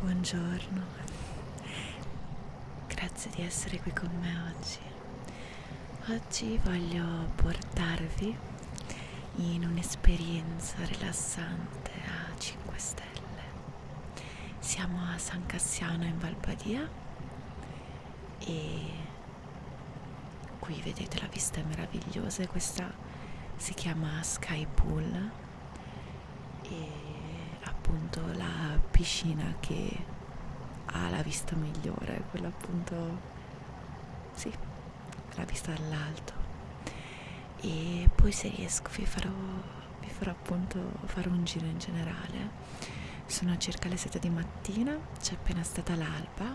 Buongiorno, grazie di essere qui con me oggi. Oggi voglio portarvi in un'esperienza rilassante a 5 stelle. Siamo a San Cassiano in Valpadia e qui vedete la vista è meravigliosa e questa si chiama Sky Pool e appunto la piscina che ha la vista migliore, quella appunto sì, la vista dall'alto e poi se riesco vi farò, vi farò appunto fare un giro in generale sono circa le 7 di mattina c'è appena stata l'alba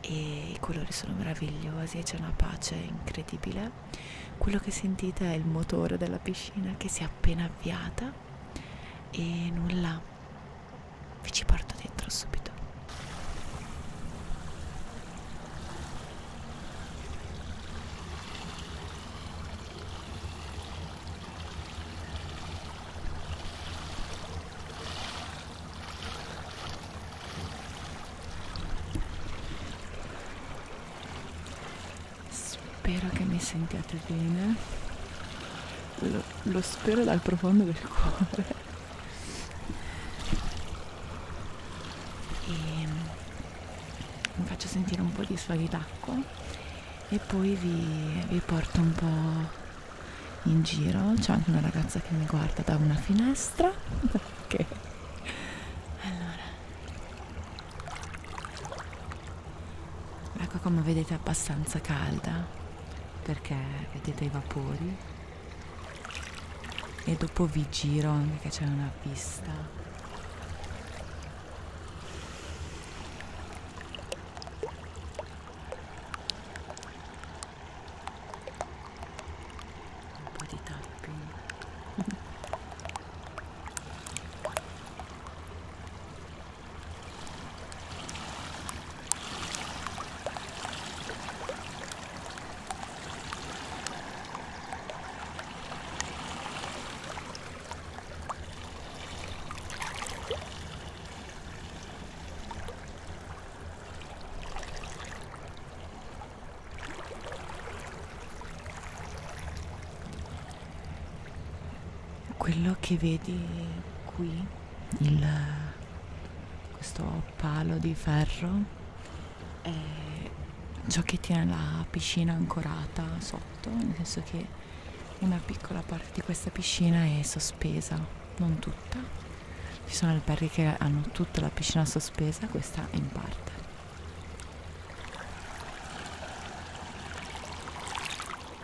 e i colori sono meravigliosi e c'è una pace incredibile quello che sentite è il motore della piscina che si è appena avviata e nulla vi ci porto dentro subito. Spero che mi sentiate bene. Lo, lo spero dal profondo del cuore. E vi mm, faccio sentire un po' di sfaghi d'acqua e poi vi, vi porto un po' in giro c'è anche una ragazza che mi guarda da una finestra perché allora l'acqua ecco come vedete è abbastanza calda perché vedete i vapori e dopo vi giro anche che c'è una vista un po' di tappi quello che vedi qui il, questo palo di ferro e ciò che tiene la piscina ancorata sotto, nel senso che una piccola parte di questa piscina è sospesa, non tutta. Ci sono alberghi che hanno tutta la piscina sospesa, questa in parte.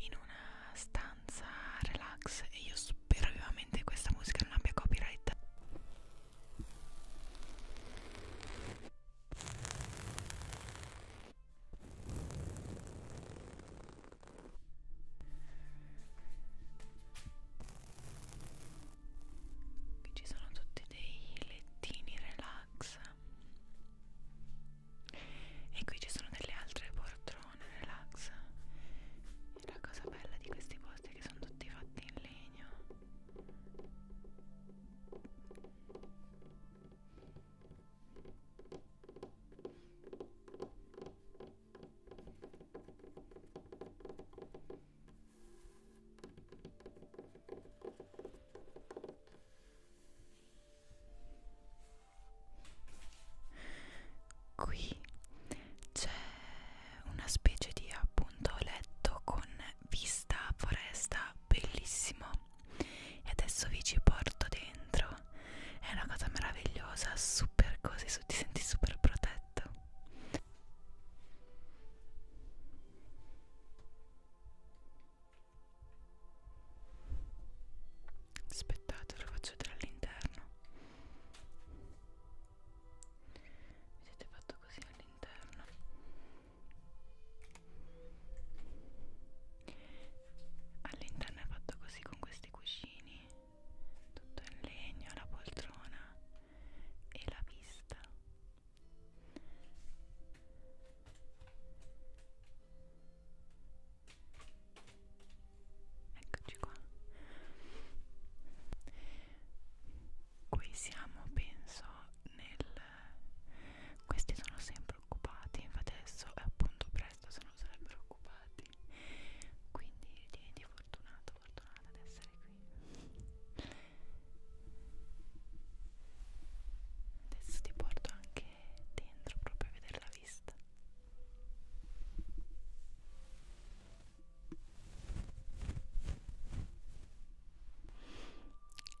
in una stanza relax e io spero vivamente che questa musica non abbia copyright Qui ci sono tutti dei lettini relax e qui ci sono delle altre poltrone relax e la cosa bella di questi posti è che sono tutti fatti in legno Qui c'è una specie di appunto letto con vista a foresta bellissimo e adesso vi ci porto dentro è una cosa meravigliosa super così ti senti super protetto aspettate ve lo faccio vedere all'interno vedete fatto così all'interno all'interno è fatto così con questi cuscini tutto in legno la poltrona e la vista Eccoci qua. Qui siamo, penso, nel... Questi sono sempre occupati, infatti adesso è appunto presto se non sarebbero occupati. Quindi diventi fortunato, fortunata ad essere qui. Adesso ti porto anche dentro proprio a vedere la vista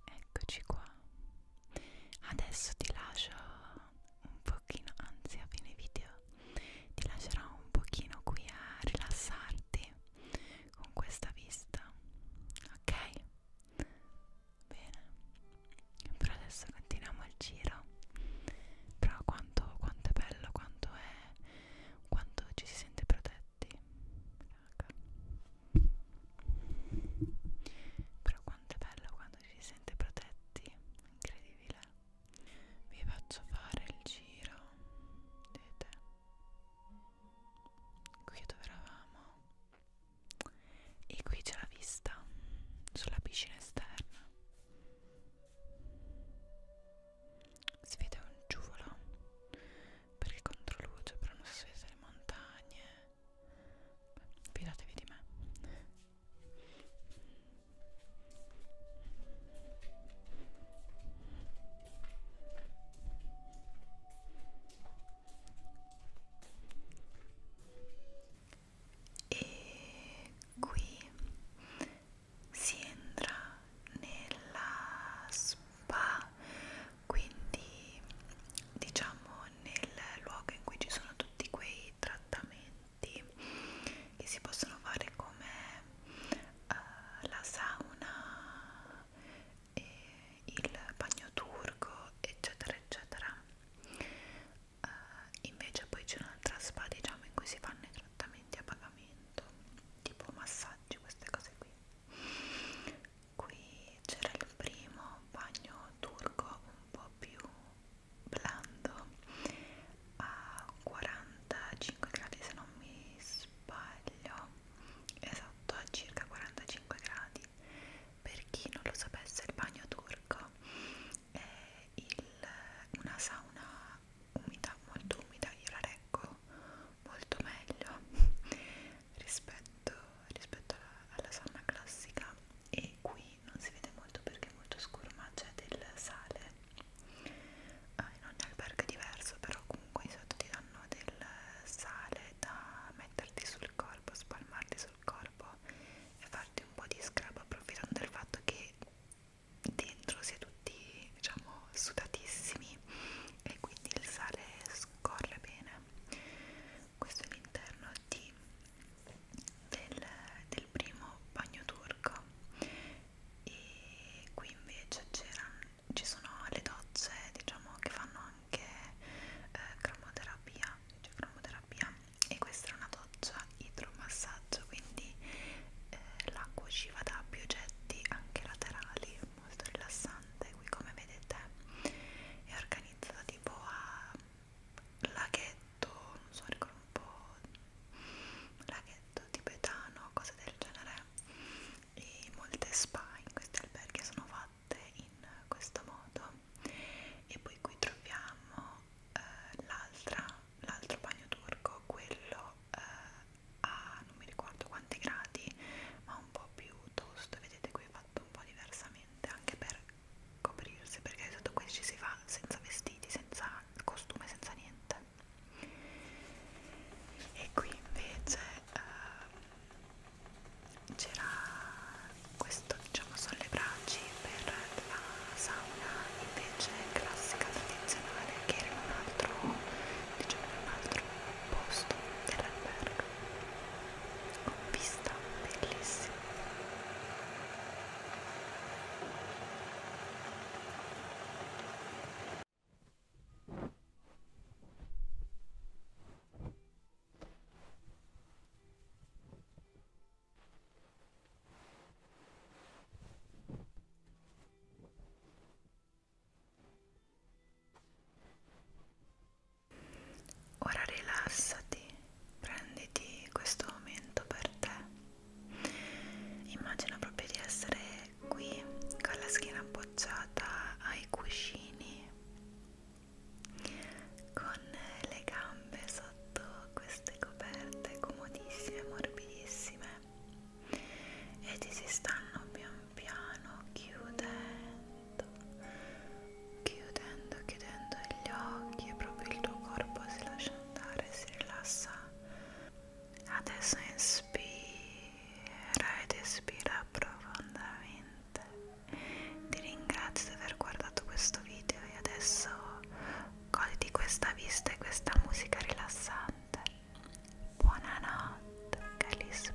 eccoci qua adesso ti lascio un pochino anzi a fine video ti lascerò un pochino qui a rilassarti con questa vista ok Bene, però adesso continuiamo il giro. Però quanto, quanto è bello, quanto è. quanto ci si sente protetti. Raga. Però quanto è bello quando ci si sente protetti. Incredibile. Vi faccio fare il giro. Vedete? Qui dove eravamo e qui c'è la vista sulla piscina esterna si vede un giuvolo perché controluce però non si so vede le montagne Beh, fidatevi di me e qui si entra nella spa quindi diciamo nel luogo in cui ci sono tutti quei trattamenti che si possono fare come uh, la sauna e il bagno turco eccetera eccetera uh, invece poi c'è un'altra spa diciamo in cui si fanno i trattamenti a pagamento tipo massaggi queste cose qui qui c'era il primo bagno turco un po' più blando a 45 gradi se non mi sbaglio esatto a circa 45 gradi per chi non lo sapesse il bagno turco è il, una sauna umida, molto umida, io la reggo molto meglio rispetto, rispetto alla, alla sauna classica e qui non si vede molto perché è molto scuro ma c'è del sale ah, in ogni albergo è diverso però comunque sotto ti danno del sale da metterti sul corpo, spalmarti sul sul corpo e farti un po' di scrub approfittando del fatto che dentro si è tutti diciamo sudatissimi e quindi il sale scorre bene questo è l'interno di, del, del primo bagno turco e qui invece ci sono le docce diciamo che fanno anche eh, cromoterapia, cioè cromoterapia e questa era una doccia idromassaggio quindi eh, l'acqua usciva da più oggetti anche laterali molto rilassante qui come vedete è organizzata tipo a laghetto non so ricordo un po' laghetto tibetano cose del genere e molte spa in questi alberghi sono fatte in questo modo e poi qui troviamo eh, l'altro bagno turco, quello eh, a non mi ricordo quanti gradi, ma un po' più tosto, vedete qui è fatto un po' diversamente anche per coprirsi, perché sotto qui ci si va senza vestiti, senza costume, senza niente. E qui invece eh, c'era questo diciamo sono le braci per la sauna invece classica tradizionale che era in un altro diciamo in un altro posto dell'albergo con vista bellissima Ora rilassati, prenditi questo momento per te. Immagina proprio di essere qui con la schiena appoggiata ai cuscini con le gambe sotto queste coperte comodissime, morbidissime e ti si stanno pian piano chiudendo, chiudendo, chiudendo gli occhi e proprio il tuo corpo si lascia andare, si rilassa. Adesso inspira ed espira profondamente. Ti ringrazio di aver guardato questo video e adesso goditi questa vista e questa musica rilassante buonanotte che li spero